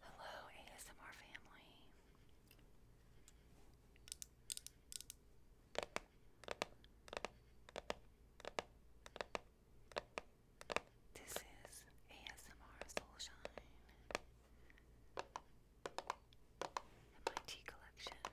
Hello, ASMR family. This is ASMR Soulshine and collection.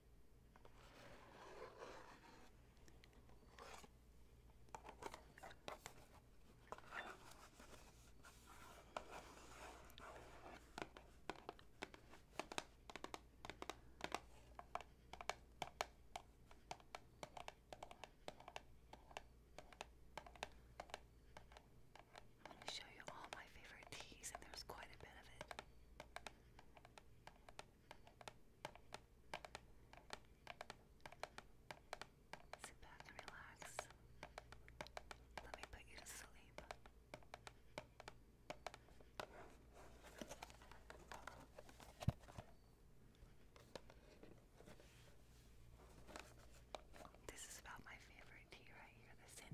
I'm show you all my favorite teas, and there's quite a bit of it. Sit back and relax. Let me put you to sleep. This is about my favorite tea right here, the Sin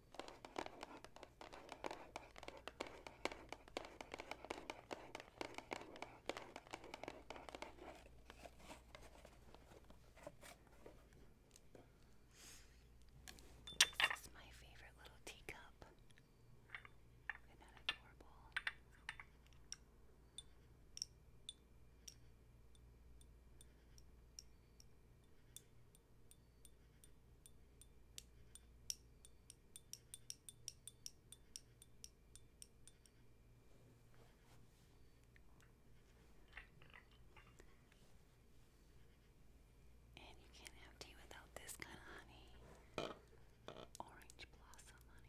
This is my favorite little teacup. Isn't that adorable? And you can't have tea without this kind of honey. Orange blossom honey.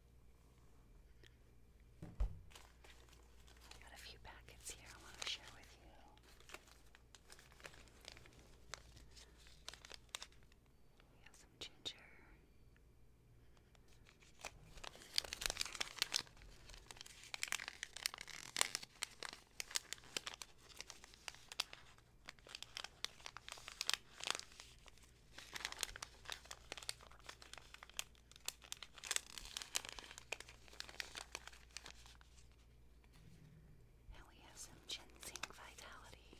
i got a few packets here I want to share with you. We have some ginger. And we have some ginseng vitality.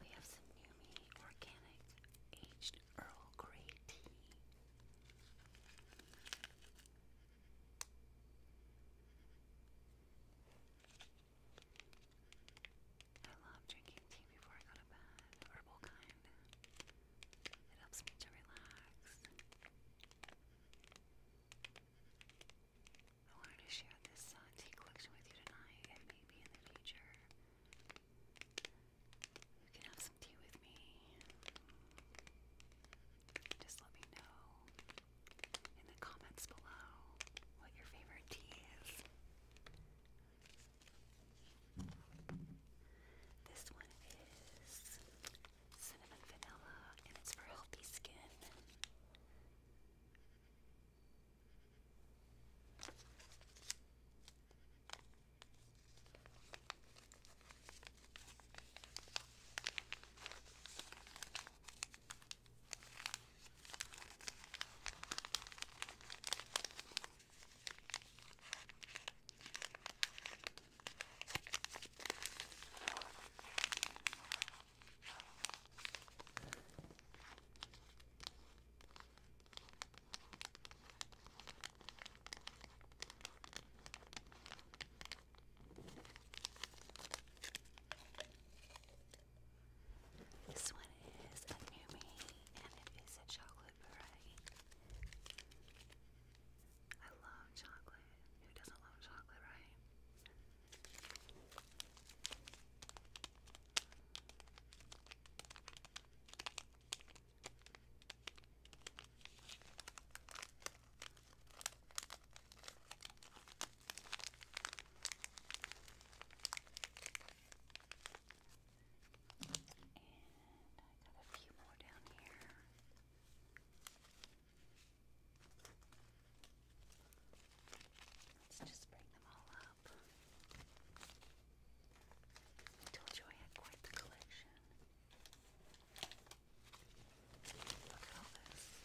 We have some Numi Organic Aged Earl Grey Tea. I love drinking tea before I go to bed, herbal kind. It helps me to relax. I wanted to share this uh, tea collection with you tonight and maybe in the future. You can have some tea with me. Just let me know in the comments below what your favorite tea is. This one is cinnamon vanilla, and it's for healthy skin. This one is a new me and it is a chocolate beret. I love chocolate. Who doesn't love chocolate, right? And I got a few more down here. Let's just bring them all up. I told you I had quite the collection. Look at all this.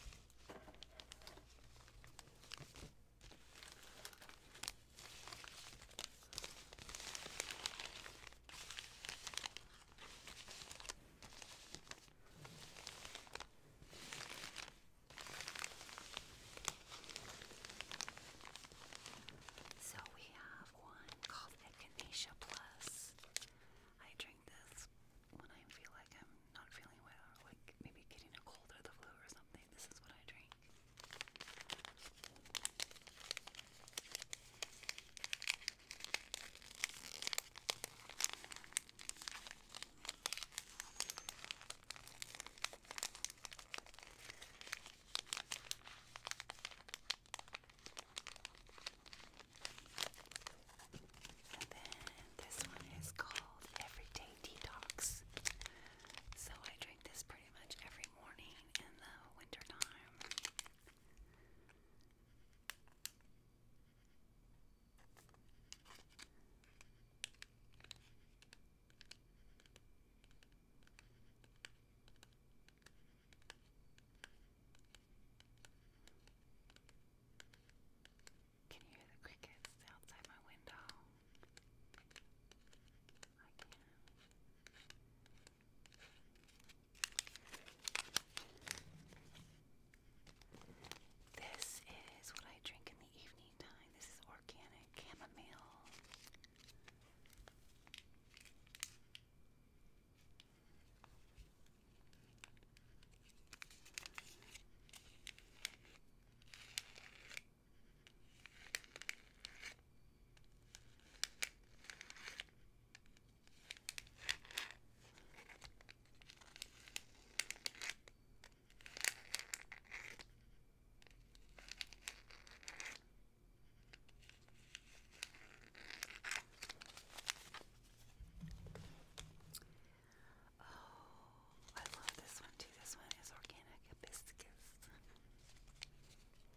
So we have one called Echinacea Plus. I drink this when I feel like I'm not feeling well, like maybe getting a cold or the flu or something. This is what I drink. And then this one is called Everyday Detox. So I drink this pretty much every morning fishing Can you hear the crickets outside my window? I can. This is what I drink in the evening time. This is organic chamomile. Oh, I love this one too. This one is organic hibiscus.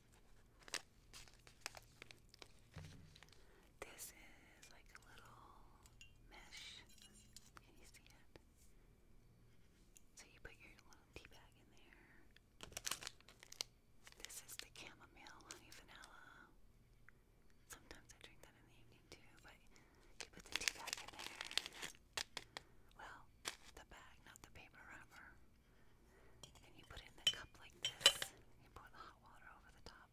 This is like a little mesh. Can you see it? So you put your little tea bag in there. This is the chamomile vanilla. Sometimes I drink that in the evening too, but you put the tea bag in there. Well, the bag, not the paper wrapper. And you put it in the cup like this. You pour the hot water over the top.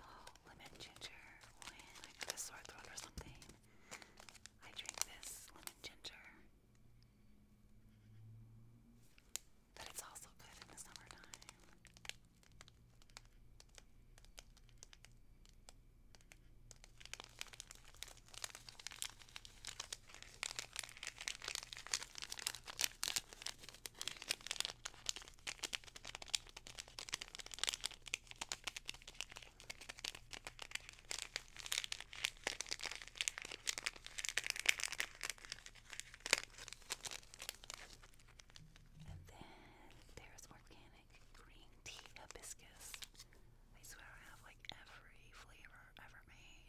Oh, lemon ginger. When I got a sore throat or something, I drink this lemon ginger. But it's also good in the summertime. And then there's organic green tea hibiscus. I swear I have like every flavor ever made.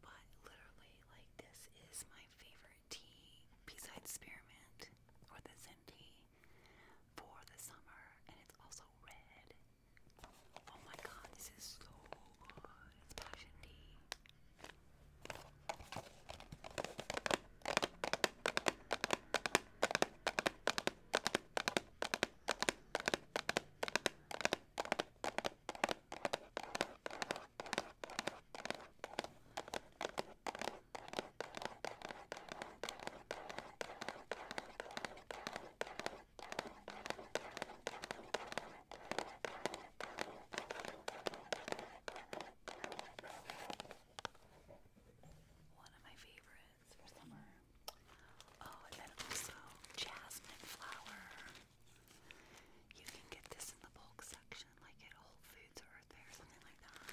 But literally, like, this is my favorite tea besides spearmint or the Zen tea for the summer, and it's also red. Oh my god, this is so good. passion tea. One of my favorites for summer. Oh, and then also jasmine flower. You can get this in the bulk section, like at Whole Foods or something like that.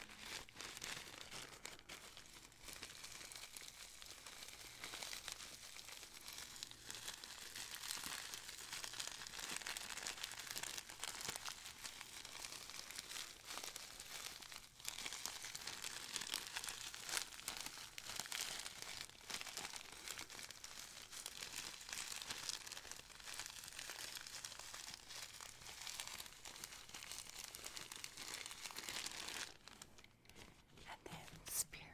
And then spearmint.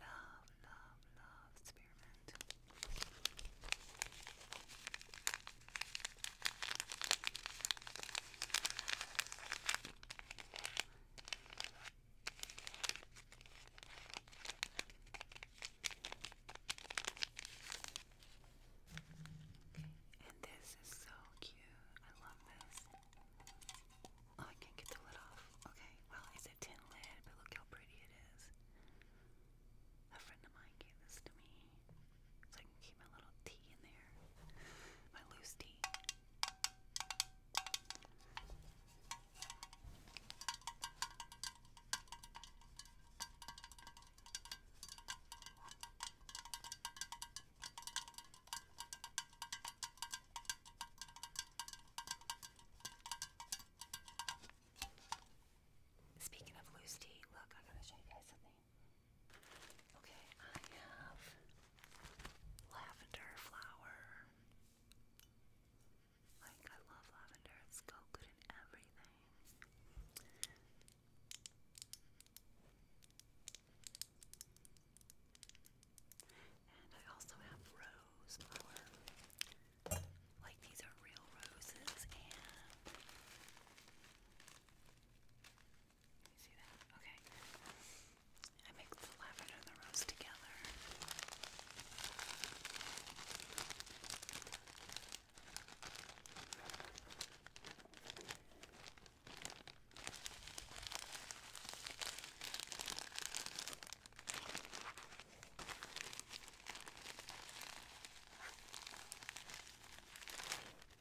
Love, love, love spearmint. And this is so cute. I love this. Oh, I can't get the lid off. Okay, well, it's a tin lid, but look how pretty it is. A friend of mine gave this to me. So I can keep my little tea in there. My loose tea. Speaking of loose tea, look, I'm going to show you guys something. Okay, I have lavender flower. Like, I love lavender, it's so good in everything. And I also have rose flower. Like, these are real roses, and you see that? Okay. I mix the lavender and the rose together. Okay.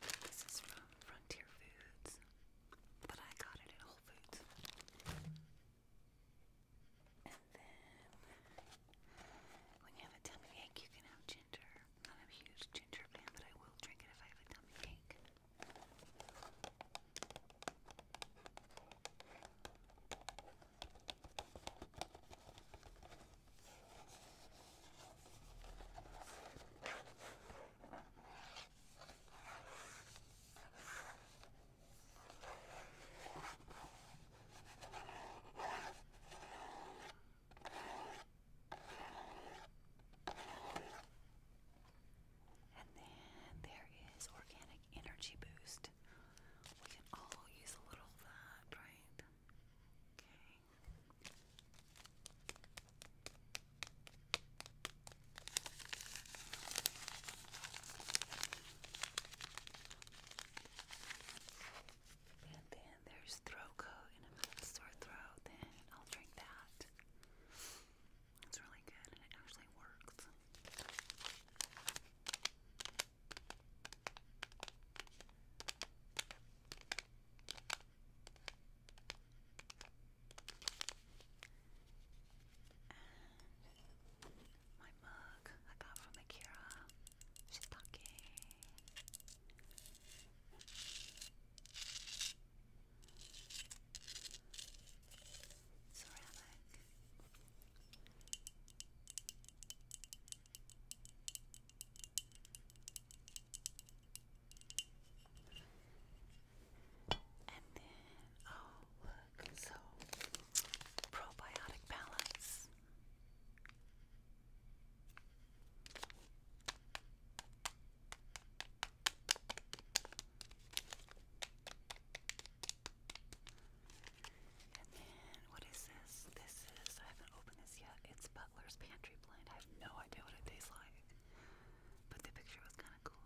This is from Frontier Foods, but I got it at Whole Foods. And then, when you have a tummy ache, you can have ginger. Not a huge ginger fan, but I will drink it if I have a tummy ache. And then there is organic energy boost. We can all use a little of that, right? Okay. And then there's throat coat and a sore throat, then I'll drink that. It's really good and it actually works. And my mug I got from Akira. She's talking. Ceramic. And then, oh, look, so probiotic balance. And then, what is this? This is, I haven't opened this yet. It's Butler's Pantry Blend. I have no idea what it tastes like. But the picture was kind of cool.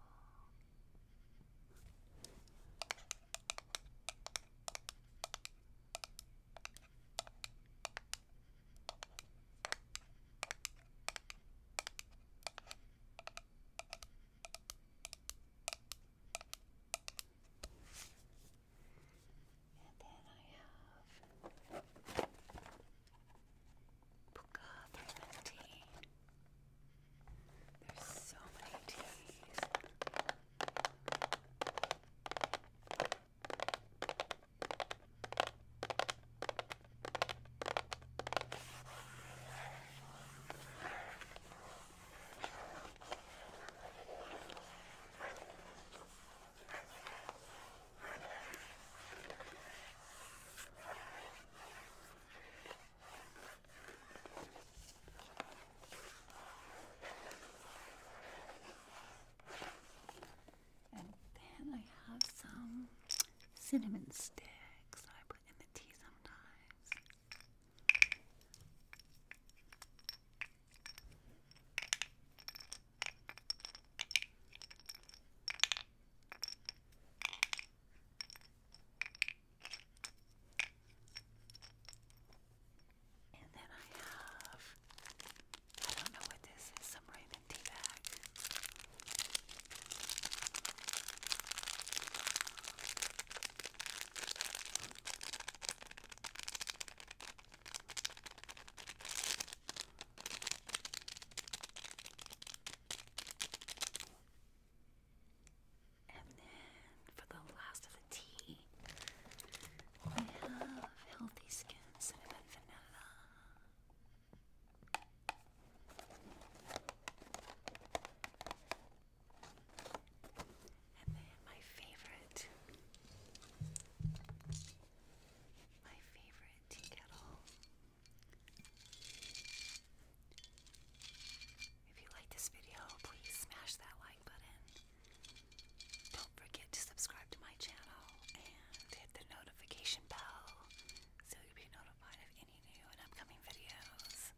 And then I have Puka tea. There's so many teas. And then I have some cinnamon sticks I put in the tea sometimes. And then I have, I don't know what this is, some Raymond tea bag. And then for the last of the tea, we have healthy skin cinnamon vanilla. And then my favorite, my favorite tea If you like this video, please smash that like button. Don't forget to subscribe to my channel and hit the notification bell so you'll be notified of any new and upcoming videos.